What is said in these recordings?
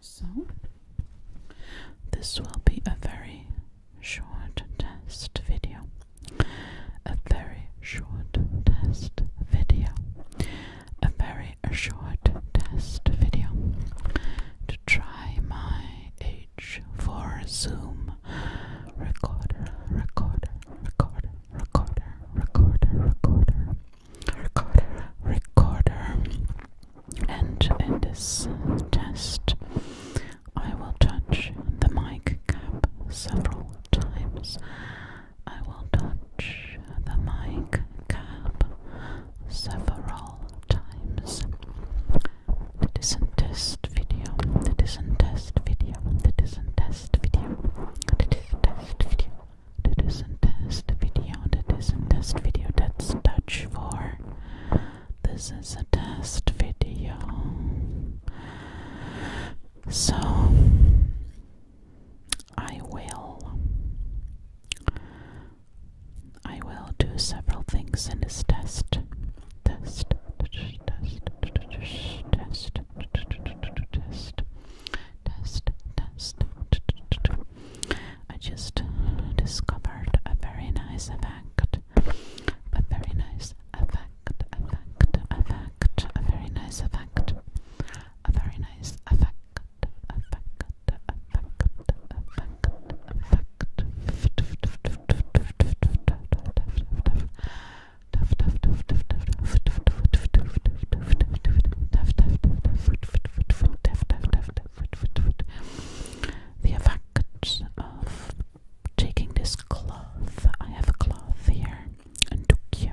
So, this will be a very short test video. A very short test video a very short test video to try my H4 Zoom recorder, recorder, recorder, recorder, recorder, recorder, recorder, recorder. And in this test, I will touch the mic cap several times I will touch the mic cap several times. That is a test video. That is a test video. That is a test video. That is a test video. That is a test video. That is a test video. That's touch for. This is a test video. So I will. I will do several things in this test. Test, test, test, test, test, test, test. I just discovered a very nice effect. A very nice effect, effect, effect, a very nice effect. A very nice effect. The effects of taking this cloth. I have a cloth here and took you.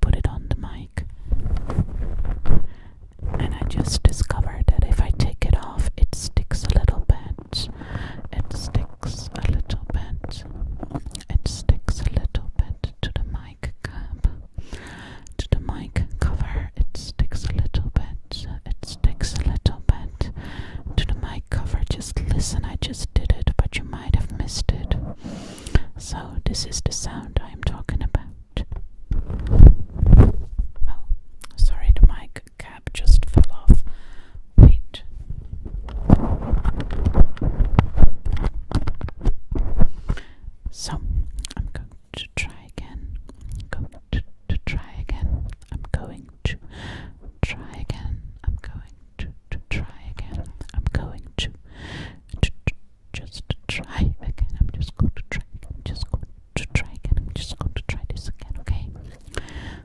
put it on the mic. And I just discovered that if I take it off, it sticks a little bit. It sticks a little bit. It sticks a little bit to the mic cap, to the mic cover. It sticks a little bit. It sticks a little bit to the mic cover. Just listen, I just did it, but you might have missed it. So, this is the sound I'm talking about. Oh, sorry, the mic cap just fell off. Wait. So, I'm going to try again. going to, to try again. I'm going to try again. I'm going to, try again. I'm going to, to, to just try again. I'm just going to try. I'm just going to try again. I'm just going to try this again. Okay.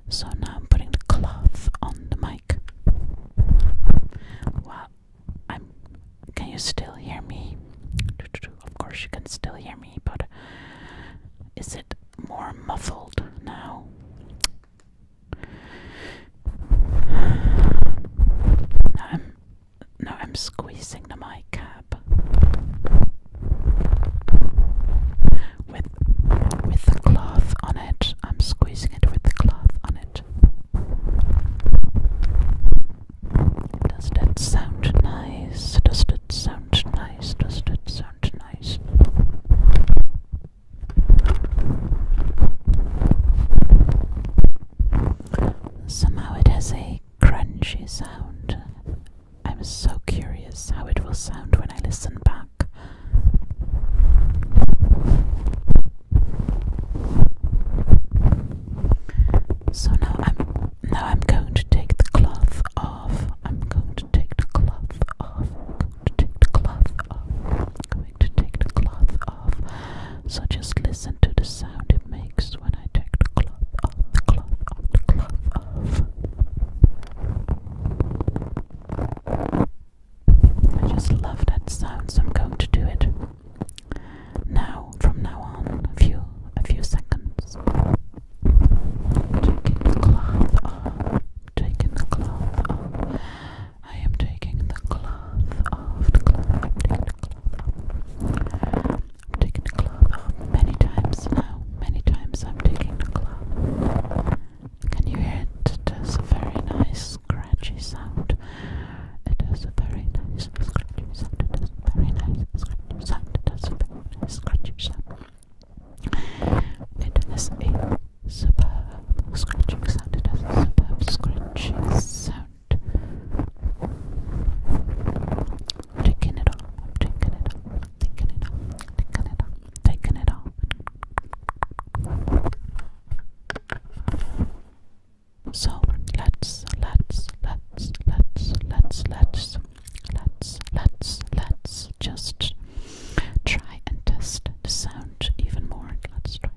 So now I'm putting the cloth on the mic. Wow. I'm. Can you still hear me? Of course you can still hear me, but is it more muffled now? Now I'm, now I'm squeezing the mic cap with with the cloth on it. I'm squeezing it with the cloth on it. Does that sound nice? Does that sound nice? Does that sound nice? Somehow it has a crunchy sound. I'm so curious how it will sound when I listen back. So now I'm now I'm going to take the cloth off. I'm going to take the cloth off. I'm going to take the cloth off to take the cloth off. So just listen to the sound it makes when I take the cloth off, cloth off, cloth off. I just love that sound, so I'm going to do it now, from now on, a few, a few seconds. Taking the cloth off, taking the cloth off. I am taking the cloth off. The cloth. taking the cloth I'm taking the cloth many times now. Many times I'm taking the cloth. Can you hear it? It does a very nice scratchy sound. It does a very nice scratchy sound. It does a very nice scratchy sound. It does a very nice scratchy sound. It is a Superb scratching sound. a superb scratching sound. taking it off. taking it off. taking it off. Taking it off. Taking it off. So let's let's let's let's let's let's let's let's let's just try and test the sound even more. Let's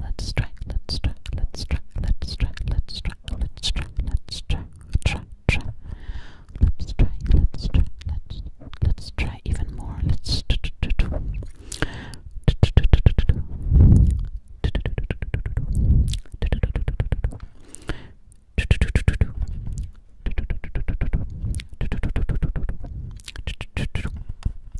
Let's try, let's try, let's try, let's try, let's try, let's try, let's try, try, try. Let's try, let's try, let's let's try even more. Let's do do do do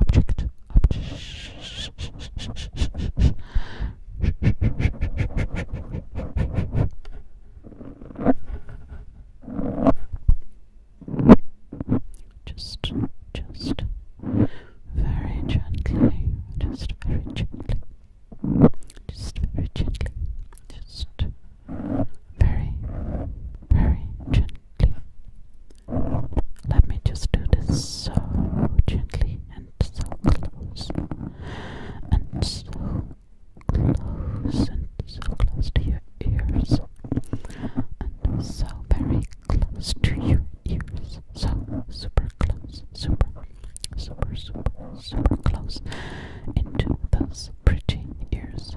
object, object. Just, just very gently, just very gently, just very gently, just very, very gently, let me just do this so gently and so close and so close and so close to your ears and so very close to your ears. So super close, super, super, super, super close into those pretty ears.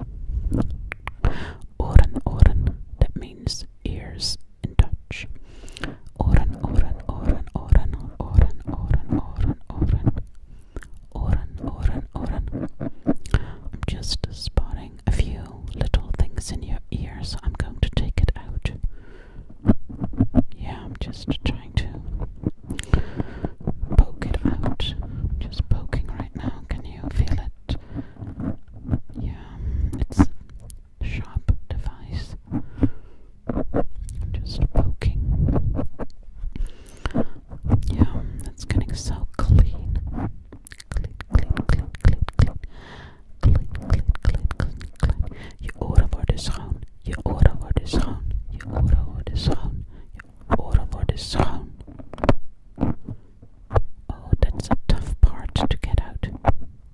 Oren, oren, that means ears in Dutch. Oren, oren, oren, oren, oren, oren, oren, oren, oren, oren, oren. I'm just spotting a few little things in your ears. I'm going to take it out. Yeah, I'm just trying to poke it out. Just poking right now. Can you feel it? Yeah, it's sharp device. Just poking. Yeah, it's getting so clean. Clean, clean, clean, clean, clean. Clean, clean, clean, clean, clean. Je oren worden schoon. Je oren worden schoon. Je oren worden schoon. Je oren worden schoon. Oh, that's a tough part to get out.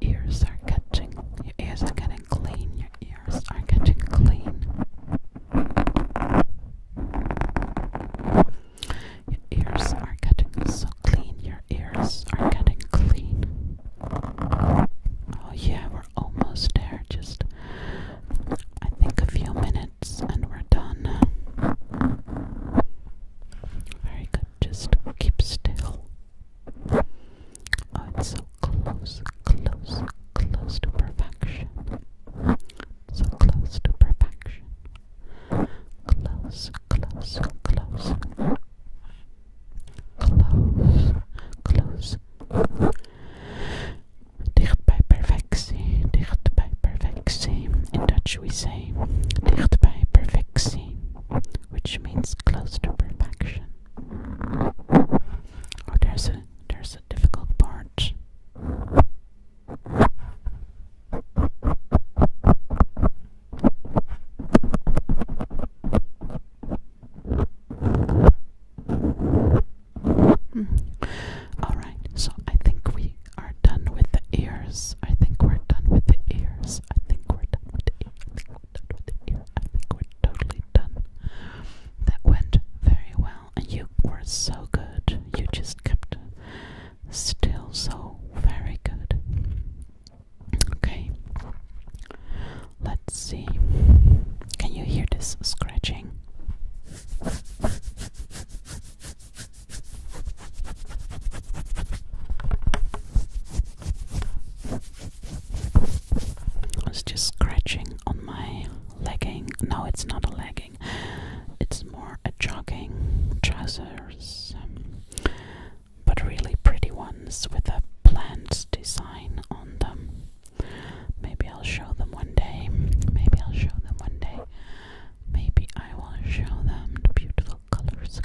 ears are catching. Your ears are getting clean. Your ears are getting clean. Your ears are getting so clean. Your ears are getting clean. Oh, yeah, we're almost there. Just, I think, a few minutes and we're done. Very good. Just keep still. Oh, it's so close, close, close to perfection. So close to perfection. Close, close, close. Close, close. Dichtbij perfectie, dichtbij perfectie. In Dutch we say dichtbij perfectie, which means close to perfection. Oh, there's a there's a difficult part. Hmm. All right, so I think we are done with the ears. I think we're done with the ears. I think we're done I think we're totally done. That went very well, and you were so good. You just kept still so very good. Okay, let's see. Can you hear this scratching? I was just scratching on my legging. No, it's not a legging. It's more a jogging trousers, um, but really pretty ones with a plant design on them. Maybe I'll show them one day. Maybe I'll show them one day. Maybe I will show them the beautiful colors,